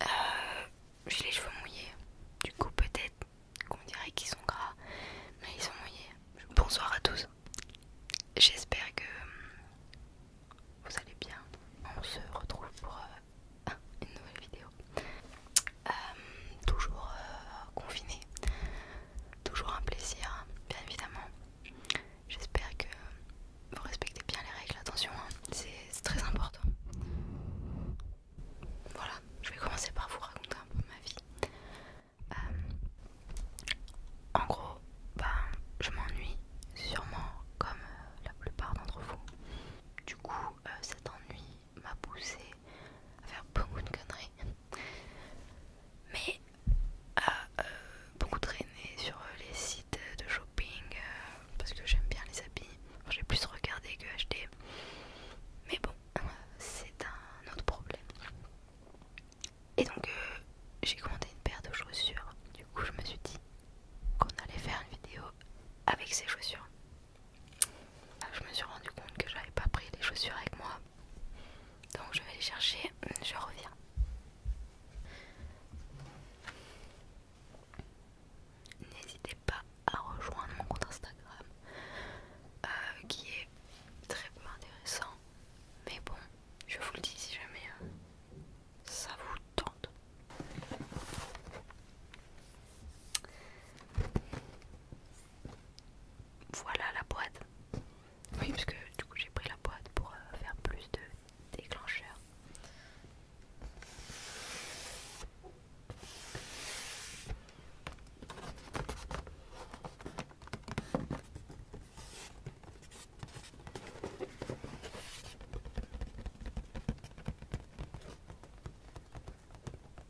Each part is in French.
Euh, j'ai les cheveux mouillés, du coup peut-être qu'on dirait qu'ils sont gras, mais ils sont mouillés. Bonsoir à tous, j'espère que vous allez bien. On se retrouve pour euh, une nouvelle vidéo. Euh, toujours euh, confiné, toujours un plaisir, bien évidemment. J'espère que vous respectez bien les règles, attention, hein, c'est très important. Voilà, je vais commencer par vous raconter un peu ma vie. Euh, en gros, ben, je m'ennuie sûrement comme la plupart d'entre vous. Du coup, cet ennui m'a poussé à faire beaucoup de conneries. Mais à euh, euh, beaucoup traîner sur les sites de shopping euh, parce que j'aime bien les habits. J'ai plus regardé que acheté. Mais bon, c'est un autre problème. Et donc j'ai commandé une paire de chaussures. Du coup je me suis dit qu'on allait faire une vidéo avec ces chaussures. Ah, je me suis rendu compte que j'avais pas pris les chaussures avec moi. Donc je vais les chercher, mm, je reviens. N'hésitez pas à rejoindre mon compte Instagram euh, qui est très peu intéressant. Mais bon, je vous le dis si jamais euh, ça vous tente. Voilà la boîte. Oui, parce que du coup j'ai pris la boîte pour euh, faire plus de déclencheurs.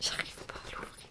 J'arrive pas à l'ouvrir.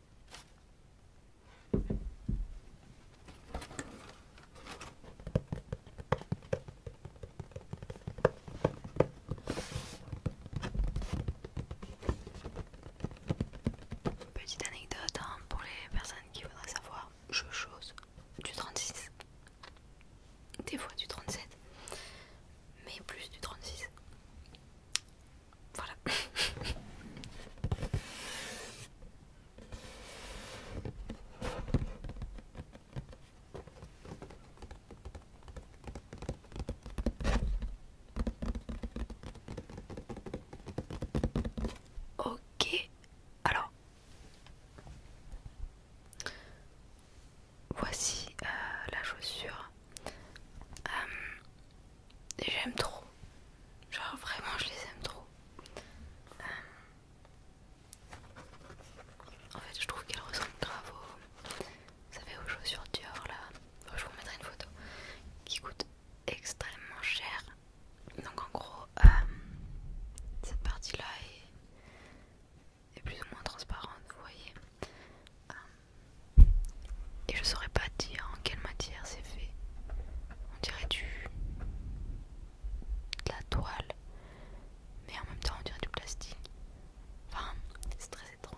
Petite anecdote hein, pour les personnes qui voudraient savoir, je chose du 36, des fois du 37, mais plus du 36. Voilà. Ok, alors voici euh, la chaussure. Euh, j'aime trop. Genre vraiment je les aime trop. Euh, en fait je trouve qu'elles ressemblent grave aux... Vous savez aux chaussures Dior là. je vous mettrai une photo. Qui coûte extrêmement cher. Donc en gros euh, cette partie là est... plus ou moins transparente vous voyez. Euh, et je saurais pas dire en quelle matière c'est fait. On dirait du. de la toile. Mais en même temps, on dirait du plastique. Enfin, c'est très étrange.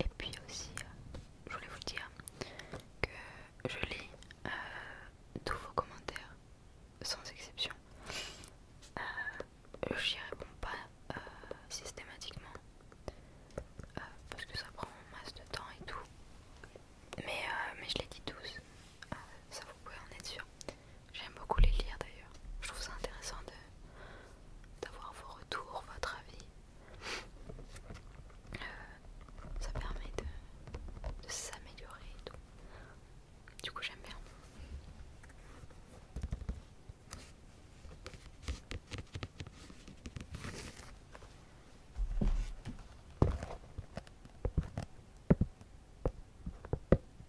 Et puis aussi, euh, je voulais vous dire que je lis euh, tous vos commentaires, sans exception. Euh, je n'y réponds pas systématiquement parce que ça prend masse de temps et tout. Mais, mais je l'ai dit tous, ça vous pouvez en être sûr. J'aime beaucoup les lire d'ailleurs. Je trouve ça intéressant d'avoir vos retours, votre avis. Euh, ça permet de, de s'améliorer et tout. Du coup, j'aime bien.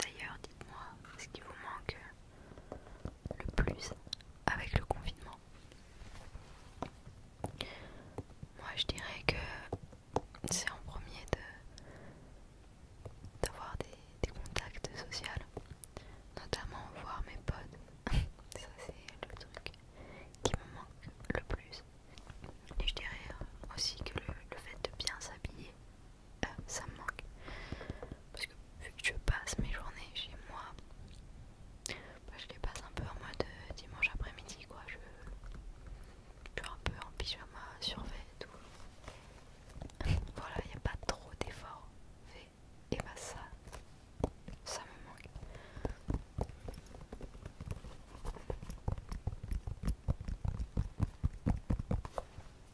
D'ailleurs, dites-moi ce qui vous manque le plus avec le confinement. Moi, je dirais que c'est en premier de d'avoir des, contacts sociaux, notamment voir mes potes. Ça, c'est le truc qui me manque le plus. Et je dirais aussi que le fait de bien s'habiller euh, ça me manque parce que vu que je passe mes journées chez moi bah, je les passe un peu en mode euh, dimanche après-midi quoi je suis un peu en pyjama surveille et tout voilà il n'y a pas trop d'efforts fait et bah ça ça me manque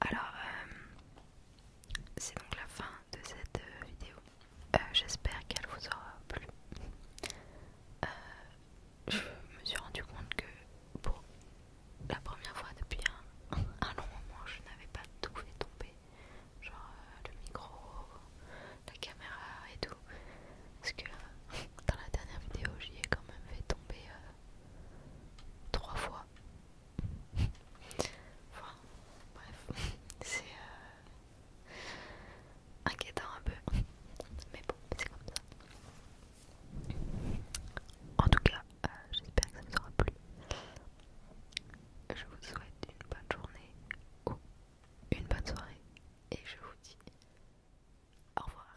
Alors, euh, c'est donc la fin de cette euh, vidéo. Euh, j'espère qu'elle vous aura plu. je me suis rendu compte que pour la première fois depuis un, long moment, je n'avais pas tout fait tomber. Genre le micro, la caméra et tout. Parce que dans la dernière vidéo, j'y ai quand même fait tomber trois fois. enfin, bref, c'est euh, inquiétant un peu, mais bon, c'est comme ça. En tout cas, euh, j'espère que ça vous aura plu. Je vous souhaite une bonne journée ou une bonne soirée et je vous dis au revoir.